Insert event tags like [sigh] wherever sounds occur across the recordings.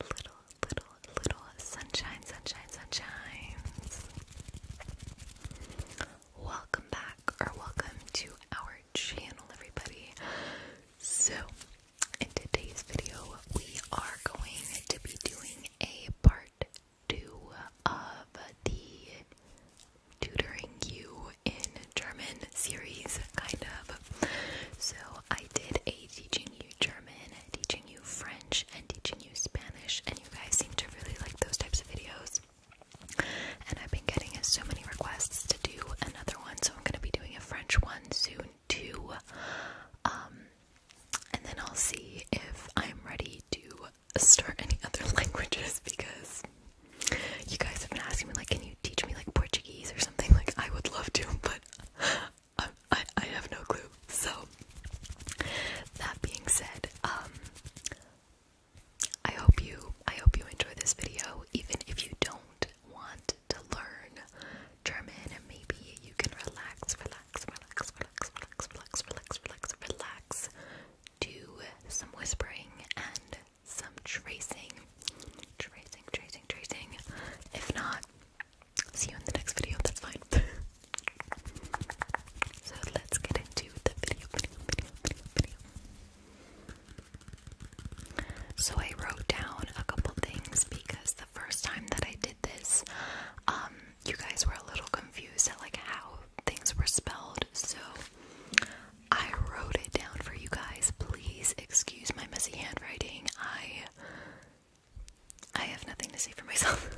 little, little, little, little sunshine, sunshine, Welcome back, or welcome to our channel, everybody. So, in today's video, we are going to be doing a part two of the Tutoring You in German series, kind of. So, I did a teaching you you German, teaching you French, and teaching you Spanish, and you guys seem to really like those types of videos. And I've been getting so many requests to do another one, so I'm going to be doing a French one soon too. Um, and then I'll see if I'm ready to start any [laughs] other languages because you guys have been asking me, like, can you teach me like Portuguese or something? Like, I would love to, but I, I, have no clue. So, that being said, um, I hope you, I hope you enjoy this video, even if you don't want to learn German, and maybe you can relax, relax, relax, relax, relax, relax, relax, relax, relax, do some whispering and some tracing, tracing, tracing, tracing. If not, see you in the next video, that's fine. [laughs] so let's get into the video, So I wrote down a couple things because the first time that I did this, um, you guys were a little confused at like how things were spelled, so I wrote it down for you guys. Please excuse my messy handwriting. I I have nothing to say for myself.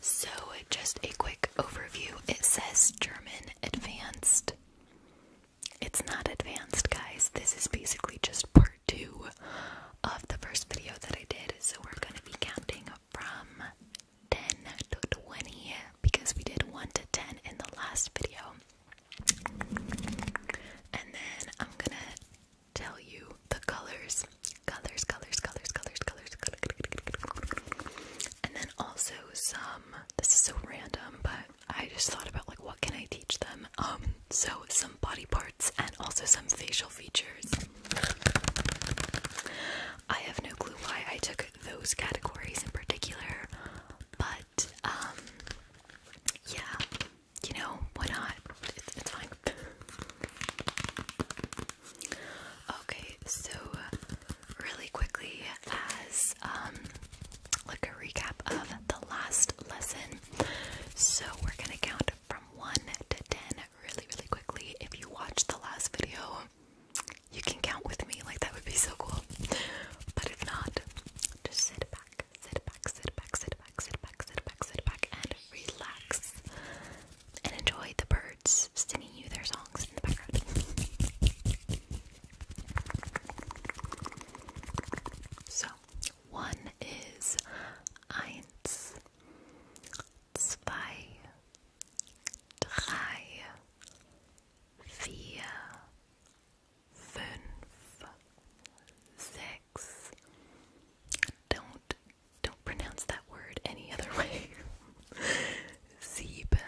so, just a quick overview. It says German Advanced. It's not advanced, guys. This is basically just part two of the first video that I did. So, we're going to be counting from 10 to 20 because we did 1 to 10 in the last video. And then I'm gonna tell you the colors. Colors, colors, colors, colors, colors, And then also some this is so random, but I just thought about like what can I teach them? Um, so some body parts and also some facial features. I have no clue why I took those categories in particular, but um, yeah, you know, why not? It's, fine. okay, so uh, really quickly, as um, like a recap of the last lesson, so we're gonna count from one to ten really, really quickly. If you watched the last video, you can count with me, like that would be so cool. But if not, just sit back, sit back, sit back, sit back, sit back, sit back, sit back, and relax and enjoy the birds singing you their songs in the background. So, one is eins, zwei, drei, vier, fünf, sechs. Don't don't pronounce that word any other [laughs] way. Sieben,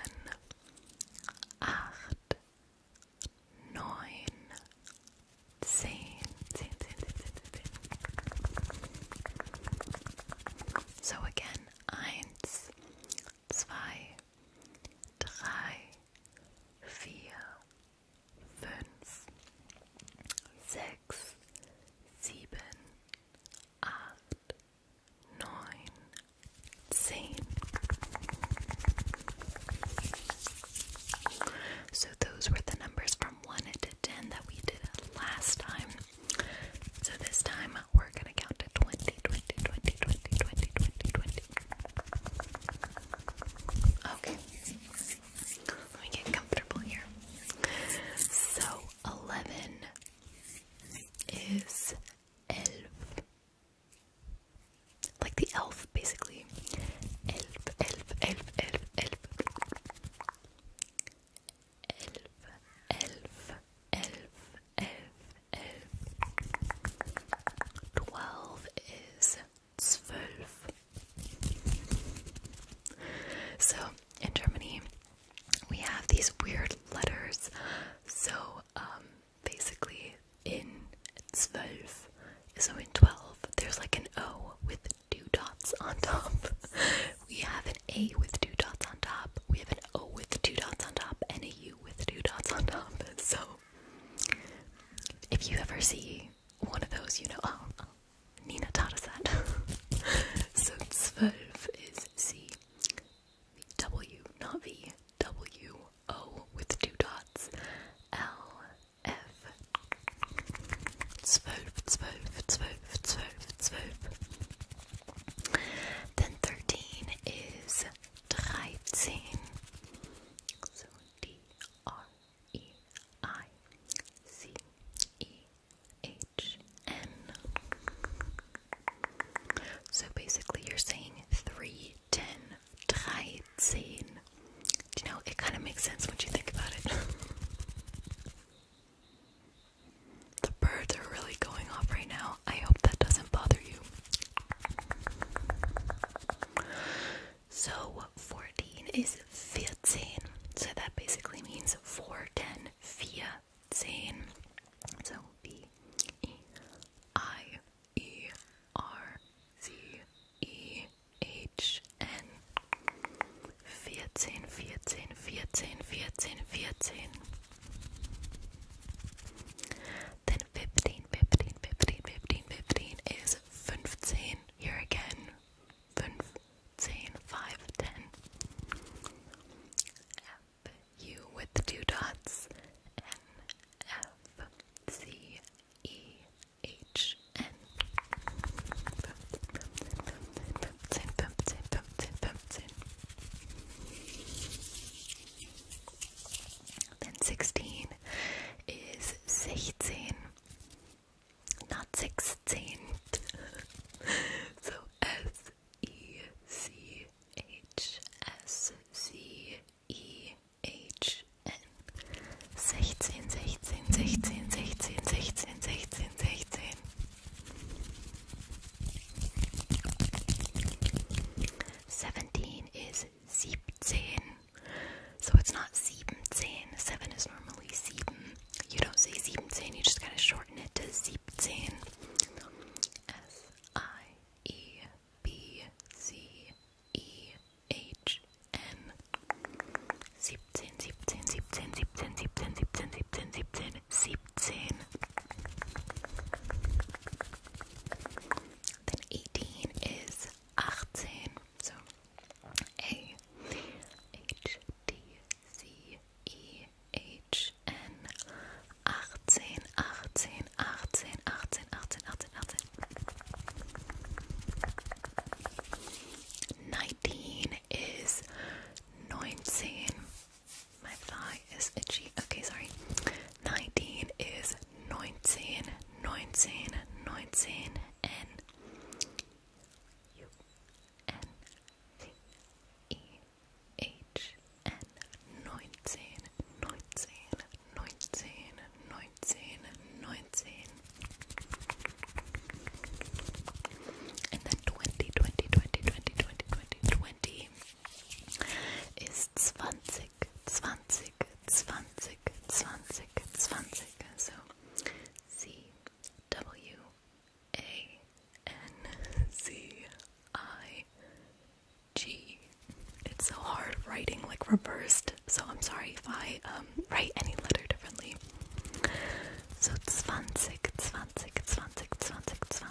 So again, eins, zwei, drei, So those were the numbers from one to ten that we did last time. So this time we're gonna count to 20, 20, Okay, let me get comfortable here. So, 11 is elf. Like the elf, basically. Elf, elf, elf, elf, elf. Elf, elf, elf, elf, elf. Twelve is zwölf. So in Germany, we have these weird letters. So um, basically, in zwölf, so in twelve, there's like an O with two dots on top. [laughs] we have an A with two dots on top. We have an O with two dots on top, and a U with two dots on top. So if you ever see one of those, you know, oh, oh, Nina taught us that. [laughs] so 12 is C, W, not V, W, O with two dots, L, F. 12, 12, 12, 12, 12. Then 13 is 13. So basically, you're saying three 13. you know, it kind of makes sense when you think about it. [laughs] the birds are really going off right now. I hope that doesn't bother you. So 14 is 14. So that basically means 4, 10, 14. So V E I E R Z E H N 14, 14, 14, 14, 14. Then 15, 15, 15, 15, 15 is 15. Here again, 15, 5, 10. F, U with two dots. N, F, C, E, H, N. 15, 15, 15, 15, 15, 15. Then 16 is 16, not 16. [laughs] so S E C H S C E H N. 16, 17 is 17. So it's not 17. 7 is normally 7. You don't say 17, you just kind of shorten it to 17. S I E B C E H N. 17, 17, 17, 17, 17, 17, 17, 17, 17, then 18 is 18, so A H D C E H N 18, 18, 18, 18, 18, 18, 18. 19 is 19 my thigh is itchy. Okay, sorry. 19 is 19, 19, 19, N U N T E H N 19, 19, 19, 19, 19. And then 20, 20, 20, 20, 20, 20, 20 ist 20, 20, 20, 20, 20. So C W A N [laughs] C I G. It's so hard writing like reversed, so I'm sorry if I um, write any letter differently. So it's 20, 20, 20, 20.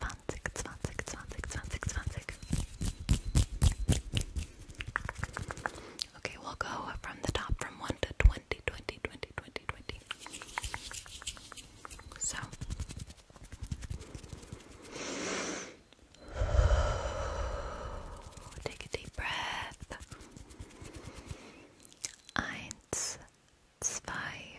20, 20, 20, 20, 20. Okay, we'll go from the top from 1 to 20, So. Take a deep breath. Eins, zwei,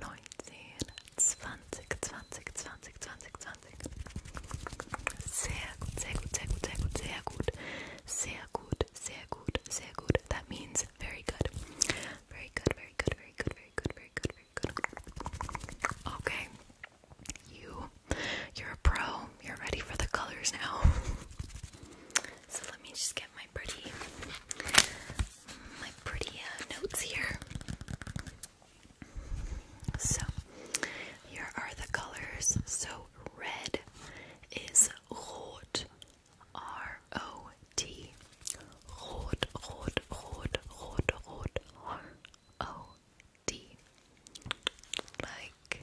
neunzehn, zwanzig, zwanzig, zwanzig, zwanzig, That means very good. Very good, very good, very good, very good, very good, very good. Okay. You you're a pro. You're ready for the colors now. [laughs] so let me just get my pretty my pretty uh, notes here. So, here are the colors. So, red is rot, R O T. Rot, rot, rot, rot, rot, R O T. Like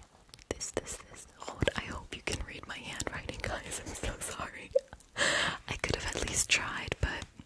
this, this, this. Rot. I hope you can read my handwriting, guys. I'm so sorry. [laughs] I could have at least tried, but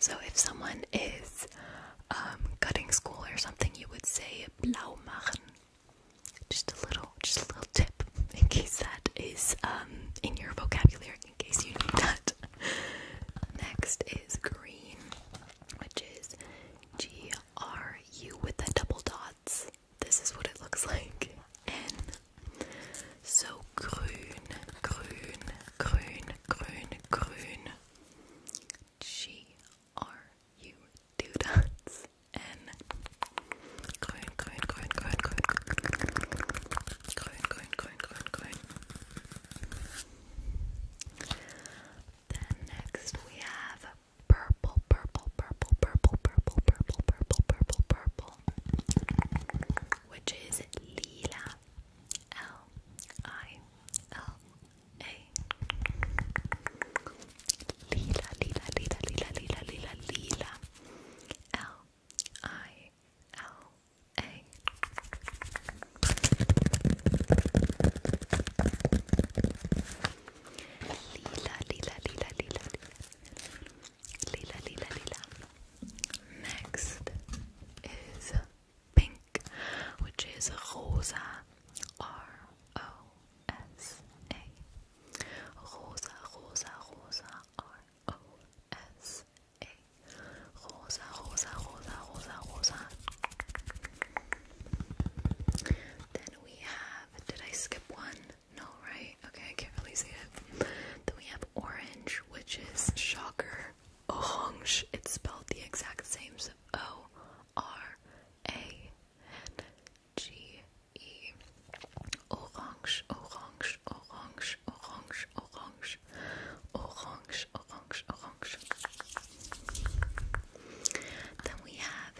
So if someone is um, cutting school or something, you would say blau machen. Just a little, just a little tip in case that is um, in your vocabulary, in case you need that. Next is green, which is G R U with the double dots this is what it looks like. And so grün, grün, grün, grün, grün. G R U two dots. N grün, grün, grün, grün, grün, grün, grün, Then next we have purple, purple, purple, purple, purple, purple, purple, purple, purple which is lila, L I L A. Lila, lila, lila, lila, lila, lila, lila, L I L A. Lila, lila, lila, lila, lila. Lila, lila, lila. Next is pink, which is rosa, R O S A. Rosa, rosa, rosa, R O S A. Rosa, rosa, rosa, rosa, rosa. Then we have, did I skip one? No, right? Okay, I can't really see it. Then we have orange, which is shocker. Orange. It's spelled the exact same. So O R A N G E. Orange, orange, orange, orange, orange, orange, orange, orange. Then we have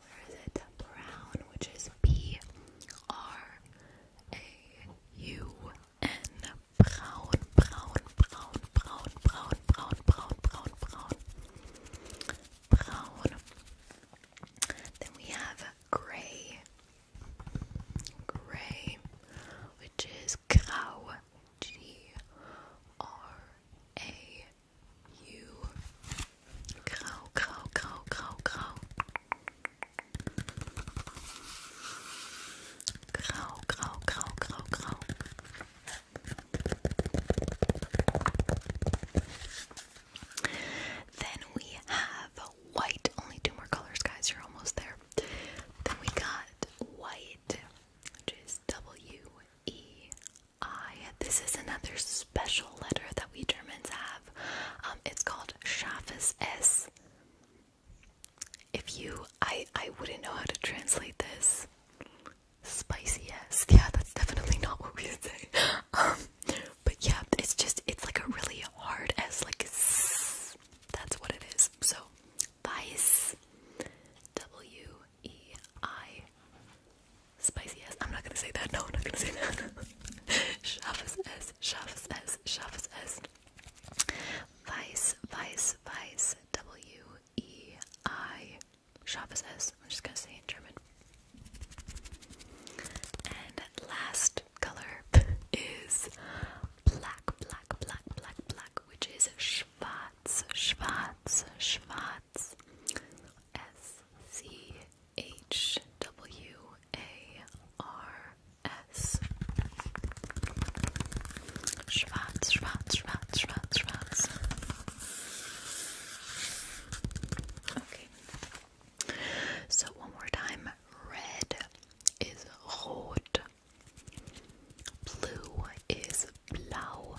where is it? Brown, which is B R A U N. Brown, brown, brown, brown, brown, brown, brown, brown, brown, brown. Then we have gray, gray, which is G R A you. Grau, grau, grau, grau, grau. Grau, grau, grau, grau, grau. Then we have white. Only two more colors, guys. You're almost there. Then we got white, which is W E I. Ah, this is another special letter that we Germans have. Um, it's called Schafes S. If you, I, I wouldn't know how to translate this. Spicy S. Yeah, that's definitely not what we would say. Um, but yeah, it's just, it's like a really hard S, like s. That's what it is. So, vice W E I. Spicy S. I'm not gonna say that. No, I'm not gonna say that. Scharfes [laughs] S. Scharfes S. Scharfes S. Vice Vice Vice. W E I. Scharfes S. I'm just gonna say in German. And last color [laughs] is black, black, black, black, black, which is a schwarz, schwarz, schwarz. S C H W A R S. Schwarz, schwarz, schwarz, schwarz, schwarz. Okay. So one more time. Red is rot. Blue is blau.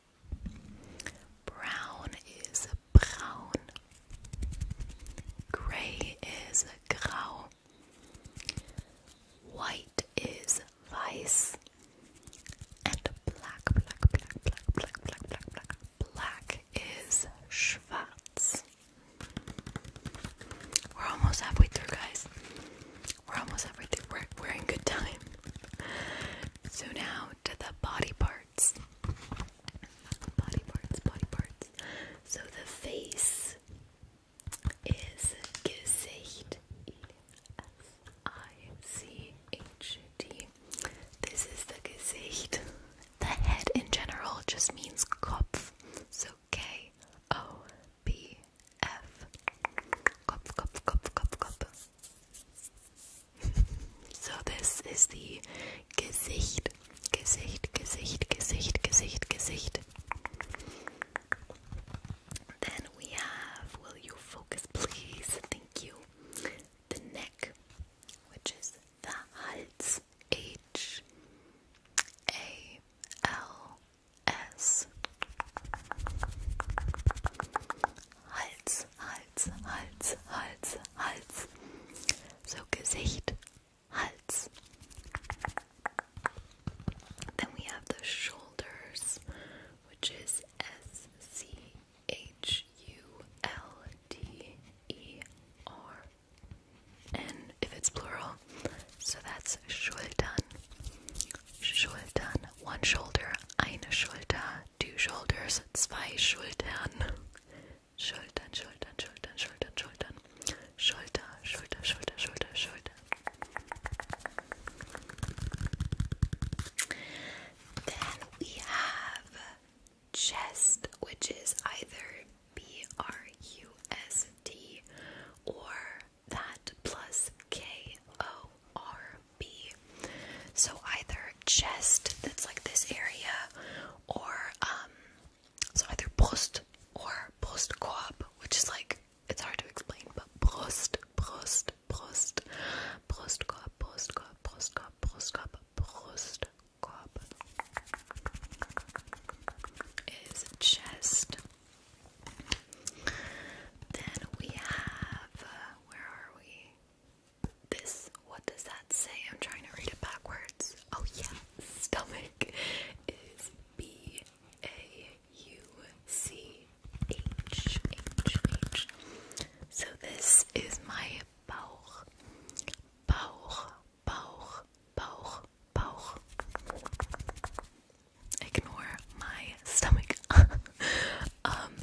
Brown is brown. Gray is gray. White is weiß. And black, black, black, black, black, black, black, black, is schwarz. We're almost halfway through, guys. We're almost halfway through. We're, we're in good time. So now to the body part. Body parts, body parts. So the face is Gesicht. E S I C H D. This is the Gesicht. The head in general just means Kopf. So K O B F. Kopf, Kopf, Kopf, Kopf, Kopf so this is the Gesicht, Gesicht, Gesicht, Gesicht, Gesicht, Gesicht. Then we have, will you focus please? Thank you. The neck, which is the H A L S. Hals, Hals, Hals, Hals, Hals. So Gesicht, Hals. Then we have the shoulders, which is S C H U L D E R. And if it's plural, so that's Schultern. Schultern, one shoulder, eine Schulter, two shoulders, zwei Schultern. Schultern, Schultern, Schultern, Schultern, Schultern. Schulter, Schulter, Schulter, Schulter, Schulter. Then we have chest, which is either B R U S D or that plus K O RB. So either chest, that's like this area, or um, so either brust or brustkorb, which is like it's hard to explain, but brust, brust, brust, brustkorb, brustkorb, brustkorb, brustkorb, brustkorb is chest. Then we have, uh, where are we? this, what does that say? I'm trying to read it backwards. Oh, yeah, stomach is B A U C H H H. So, this is my Bauch. Bauch, Bauch, Bauch, Bauch. Ignore my stomach. [laughs] Um,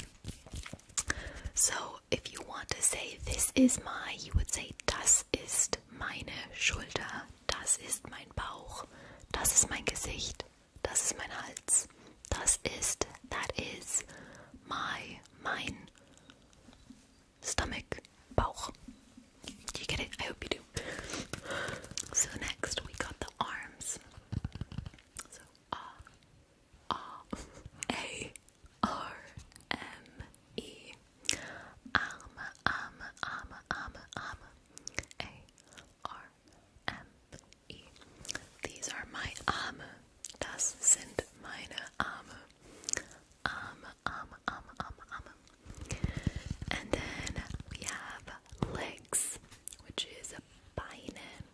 so if you want to say this is my, you would say das ist meine Schulter, das ist mein Bauch, das ist mein Gesicht, das ist mein Hals, das ist, that is, my, mein, stomach, Bauch. Do you get it? I hope you do. So next we got the arms. Ah. A R M E Arm Arm Arm Arm Arm A R M E These are my Arme. Das sind meine Arme. Arm Arm Arm Arm Arm. And then we have legs, which is a Beine.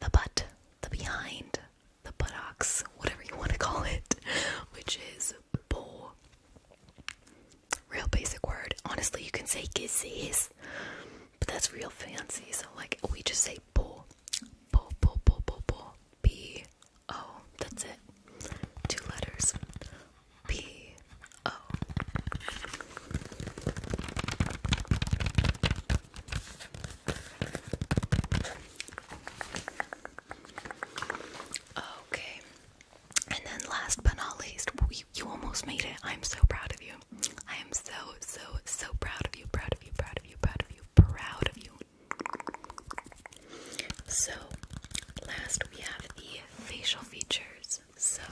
the butt, the behind, the buttocks, whatever you want to call it, which is bull. Real basic word. Honestly, you can say kisses, but that's real fancy. So, like, we just say bull. Bull, bull, bull, bull, bull. B O. That's it. Two letters. B Oh. Okay. And then last but not least, you, you almost made it. I'm so proud of you. I am so, so, so proud of you, proud of you, proud of you, proud of you, proud of you. So, last we have the facial features. So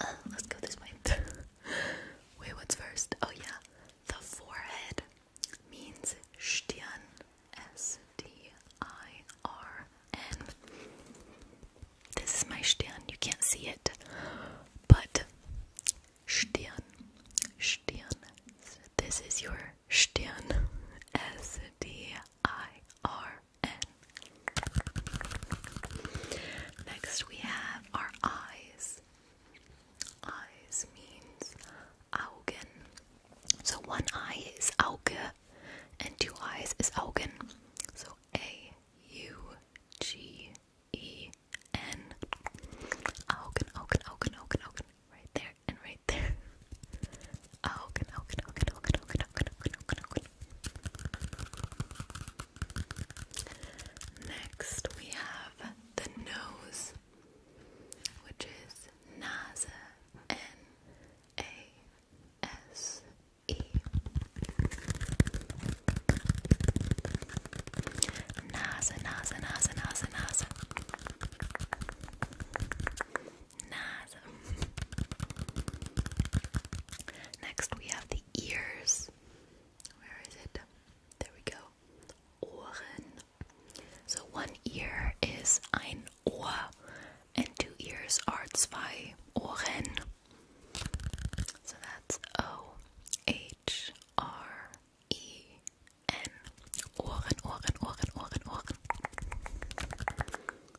uh, let's go this way. [laughs] Wait, what's first? Oh yeah, the forehead means Stirn, S T I R N. This is my Stirn. You can't see it, but Stirn, Stirn. This is your Stirn, [laughs] S D I R Next, we have our eyes. Eyes means Augen. So one eye is Auge, and two eyes is Augen. So A U G E N. Augen, Augen, Augen, Augen, Augen. Right there and right there. Hogan, Hogan, Hogan, Hogan, Hogan, Hogan, Hogan, Hogan, Hogan. Next, we have the nose, which is NASA, N A S E. NASA, NASA, NASA, NASA, NASA. Next we have the ears. Where is it? There we go. Ohren. So one ear is ein Ohr and two ears are zwei Ohren. So that's O H R E N. Ohren, Ohren, Ohren, Ohren, Ohren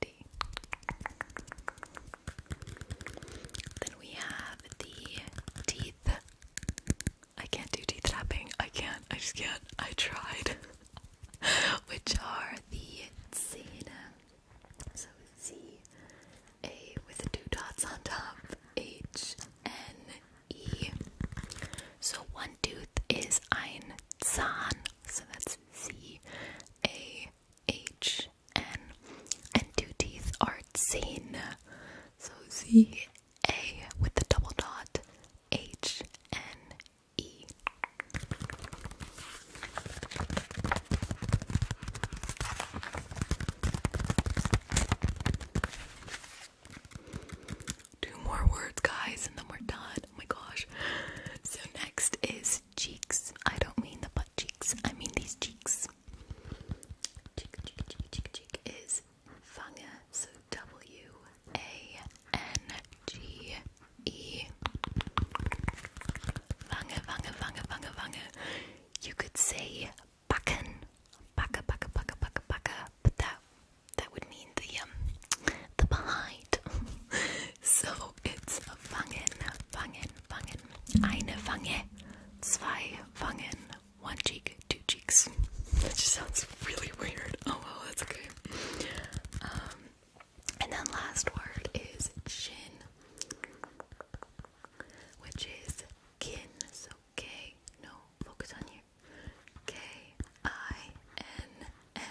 then we have the teeth. I can't do teeth tapping. I can't. I just can't. I tried. [laughs] Which are the Zena. So Z A with two dots on top. H N E. So one tooth is ein So that's Z A H N and two teeth are seen. So Z A with the double dot H N E. Two more words, guys, and then we're done. Oh my gosh. So, next is cheeks. I don't mean the butt cheeks, I mean these cheeks. Cheek, cheek, cheek, cheek, cheek is Fange, so W A N G E. Fange, Fange, Fange, Fange, Fange. You could say backen, backe, backe, backe, backe, backe, but that that would mean the um, the behind. [laughs] so it's fangen, fangen, fangen. Eine Wange, zwei Wangen, one cheek, two cheeks. [laughs] That just sounds really weird. Oh well, that's okay. Um, and then last word is chin, which is kin. So okay, no, focus on you. K I N and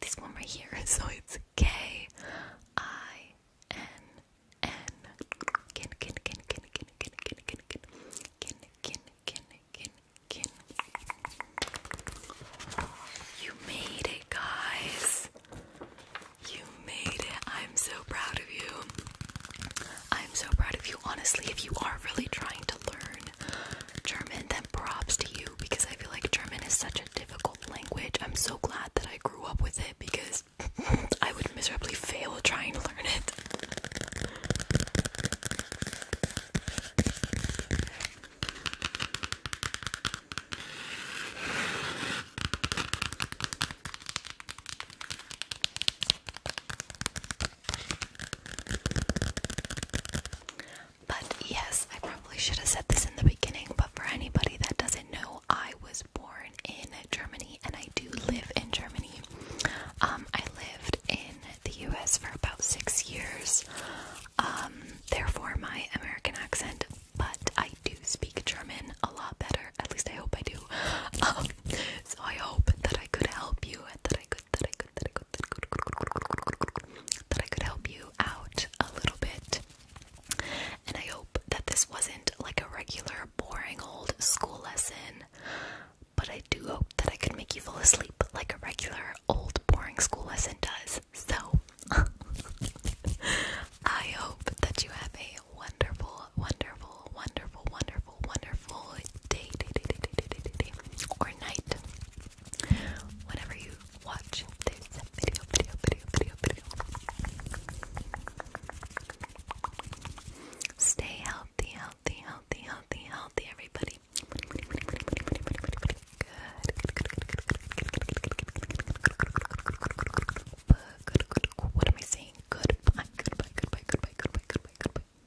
this one right here, [laughs] so it's K I N N kin kin kin kin kin kin kin kin kin kin kin kin kin kin You made it guys You made it I'm so proud of you I'm so proud of you honestly if you are really trying to learn German, then props to you because I feel like German is such a difficult language. I'm so glad that I grew up with it because [laughs] I would miserably fail trying to learn it. But yes, I probably should have said this in the beginning, but for anybody that doesn't know, I was born in Germany and I do live in Germany. Um, I lived in the US for about six years, um, therefore, my American accent, but I do speak German a lot better, at least I hope I do. [laughs] Um, so I hope that I could help you and that I could that I could that I could that I could that I could help you out a little bit. And I hope that this wasn't like a regular boring old school lesson, but I do hope that I could make you fall asleep like a regular old boring school lesson does. So [laughs] I hope that you have a wonderful, wonderful, wonderful, wonderful wonderful, day, or night. Whenever you watch this video, video, video, video, video. Stay healthy, healthy, healthy, healthy, healthy, everybody. Good. What am I saying? Goodbye, goodbye, goodbye, goodbye, goodbye, goodbye, goodbye.